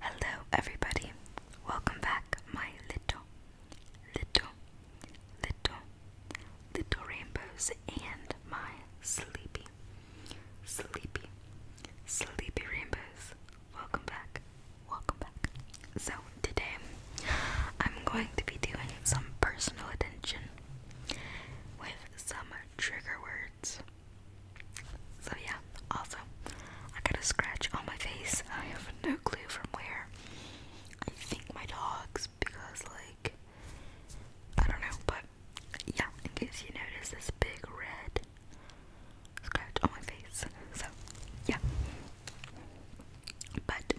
Hello, everybody. Welcome back, my little, little, little, little rainbows, and my sleepy, sleepy, sleepy rainbows. Welcome back. Welcome back. So, today I'm going to be doing some personal attention with some trigger words so yeah, also, I got a scratch on my face. I have no clue from where. I think my dogs, because like, I don't know, but yeah, in case you notice this big red scratch on my face. So yeah. But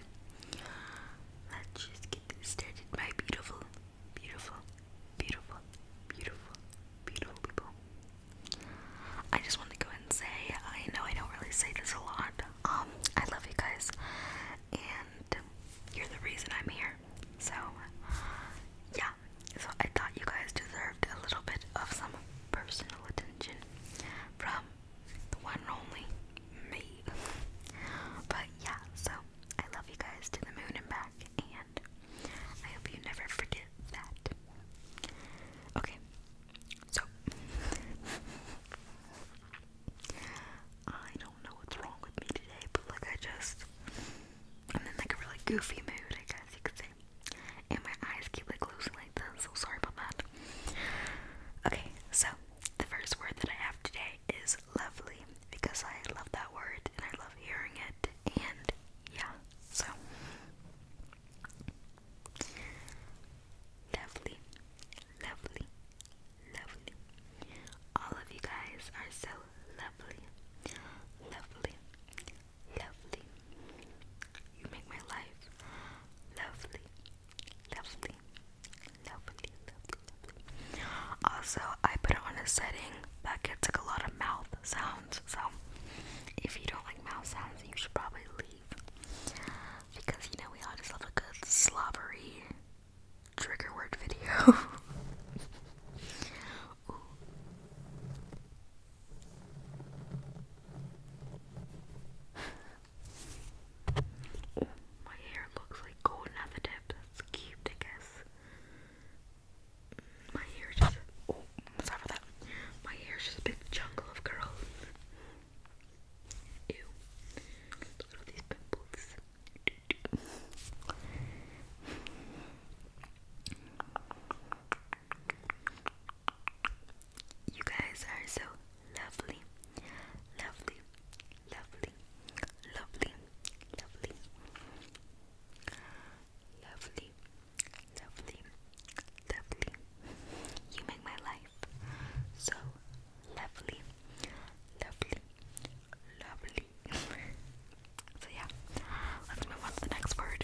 let's just get started, my beautiful, beautiful, beautiful, beautiful, beautiful people. I just want to go ahead and say I know I don't really say this a lot. Um, I love you guys, and you're the reason I'm here. So, yeah. So I thought you guys deserved a little bit of some personal attention from the one and only me. But yeah, so I love you guys to the moon and back, and I hope you never forget that. Okay, so I don't know what's wrong with me today, but like I just I'm in like a really goofy mood, I guess you could say. And my eyes keep like closing like this, so sorry about that. Okay, so the first word that I have today is lovely because I love that word and I love hearing it and yeah, so lovely, lovely, lovely. All of you guys are so lovely, lovely, lovely. You make my life lovely, lovely, lovely, lovely, lovely. Also, I put on a setting that gets like a lot of mouth sounds. So if you don't like mouth sounds, you should probably leave because you know we just love a good slobbery trigger word video. my hair looks like golden at the tip. That's cute, I guess. My hair is just oh, sorry for that. My hair just a big jungle of curls. Ew. Look at all these pimples. You guys are so lovely, lovely, lovely, lovely. Lovely. Lovely. Lovely. Lovely. You make my life so lovely. Lovely. Lovely. so yeah. Let's move on to the next word.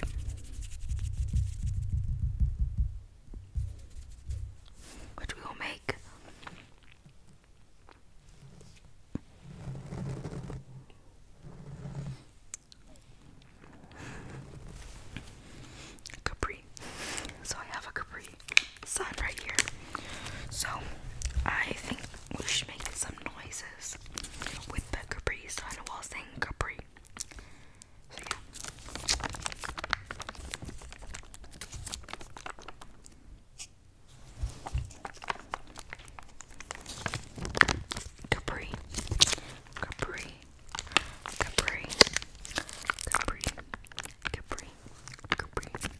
Which we will make Capri. So I have a Capri sign right here. So I think we should make some noises with the Capri sign while saying Capri. Capri, Capri, Capri, Capri, Capri, Capri. Capri, Capri,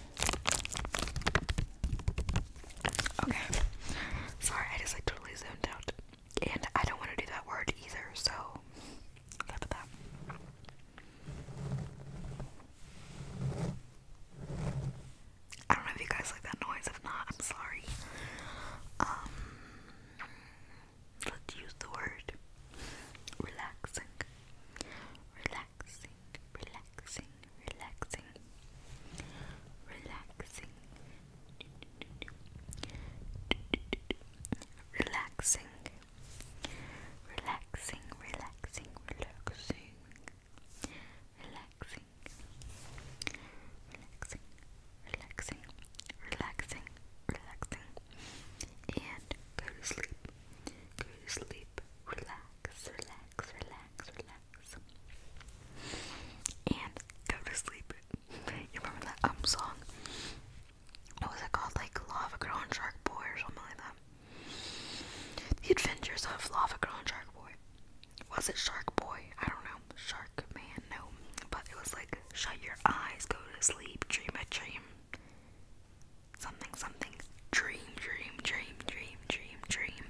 Okay. Sorry, I just like totally zoned out. And I don't want to do that word either, so that's that. I don't know if you guys like that noise. If not, I'm sorry. Um, let's use the word relaxing. Relaxing relaxing, relaxing, relaxing, relaxing, relaxing, relaxing, relaxing, relaxing, relaxing, relaxing, relaxing, relaxing, and go to sleep. Go to sleep. Relax, relax, relax, relax, relax. And go to sleep. you remember that um song? What was it called? Like Lava Girl Shark Boy or something like that. The Adventures of Lava Girl Shark Boy. Was it Shark Boy? I don't know. Shark Man, no. But it was like shut your eyes, go to sleep, dream a dream something something dream dream dream dream dream dream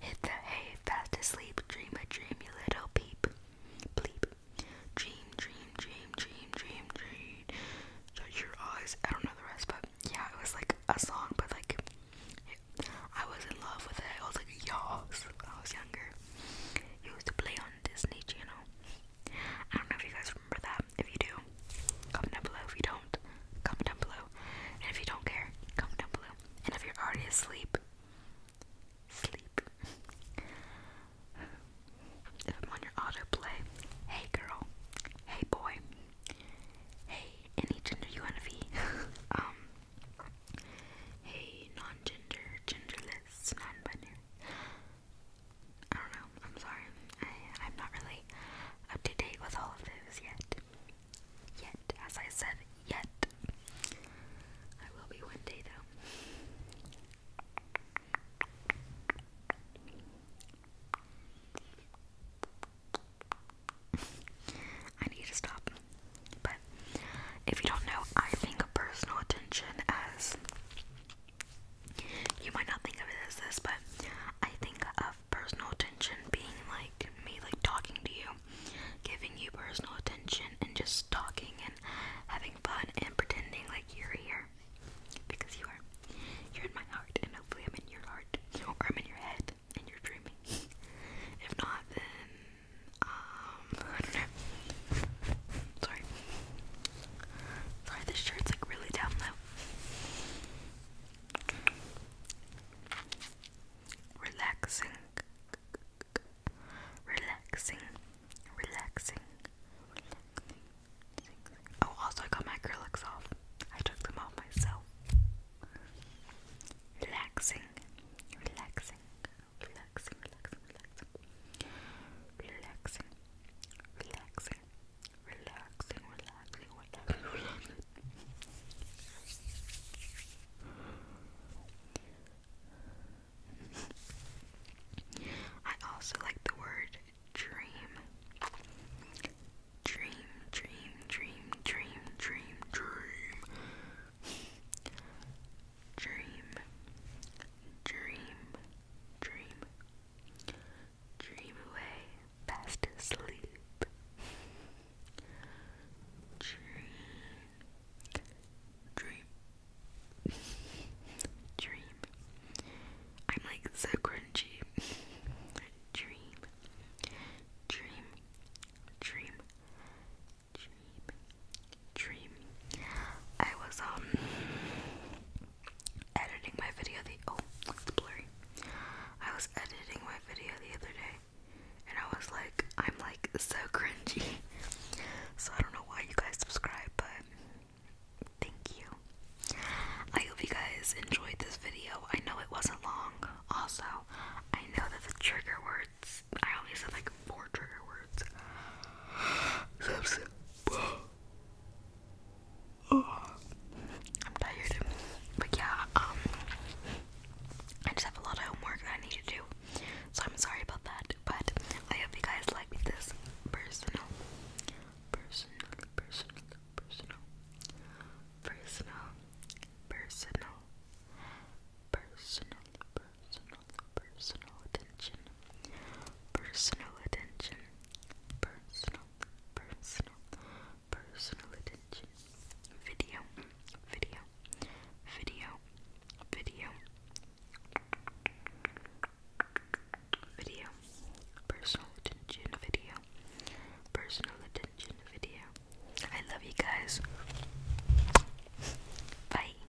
hit the hay fast asleep dream a dream little peep bleep dream dream dream dream dream dream shut your eyes I don't know the rest but yeah it was like a song but like I was in love with it I was like yas I was younger used to play on Disney Channel I don't know if you guys remember that if you do, comment down below. If you don't, comment down below. And if you don't care, comment down below. And if you're already asleep, sleep. if I'm on your autoplay, hey girl, hey boy, hey any gender you wanna be, um, hey non-gender, genderless, non-binary. I don't know. I'm sorry. I, am not really up to date with all of those yet. Yet, as I said, yet. I will be one day though. I need to stop. But if you don't know, I think personal attention as you might not think of it as this, but I think of personal attention being like me, like talking to you, giving you personal attention, and just talking and having fun and pretending like you're here because you are. You're in my heart, and hopefully, I'm in your heart or I'm in your head and you're dreaming. if not, then um, Sorry. Sorry, this shirt's like really down low. Relaxing. Relaxing. Relaxing. Oh, also I got my acrylics off. I took them off myself. Relaxing. Relaxing. Relaxing. Relaxing. Relaxing. Relaxing. Relaxing. Relaxing, relaxing, I also like the word dream. Dream, dream, dream, dream, dream, dream. Dream, dream, dream, Dream away fast asleep. Dream. Dream. Dream. I'm like so crunchy. Dream. Dream. Dream. Dream. Dream. I was um editing my video the oh it's blurry. I was editing my video the other day and I was like I'm like so cringy. So I don't know why you guys subscribe but thank you. I hope you guys enjoyed this video. I know it wasn't long. Also, I know that the trigger words I only said like four trigger words I'm tired. But yeah, um I just have a lot of homework I need to do. So I'm sorry about that. But I hope you guys like this personal personal personal personal personal personal personal personal personal attention, personal attention, personal, personal, personal attention, video, video, video, video, video, personal attention, video, personal attention, video. I love you guys. Bye.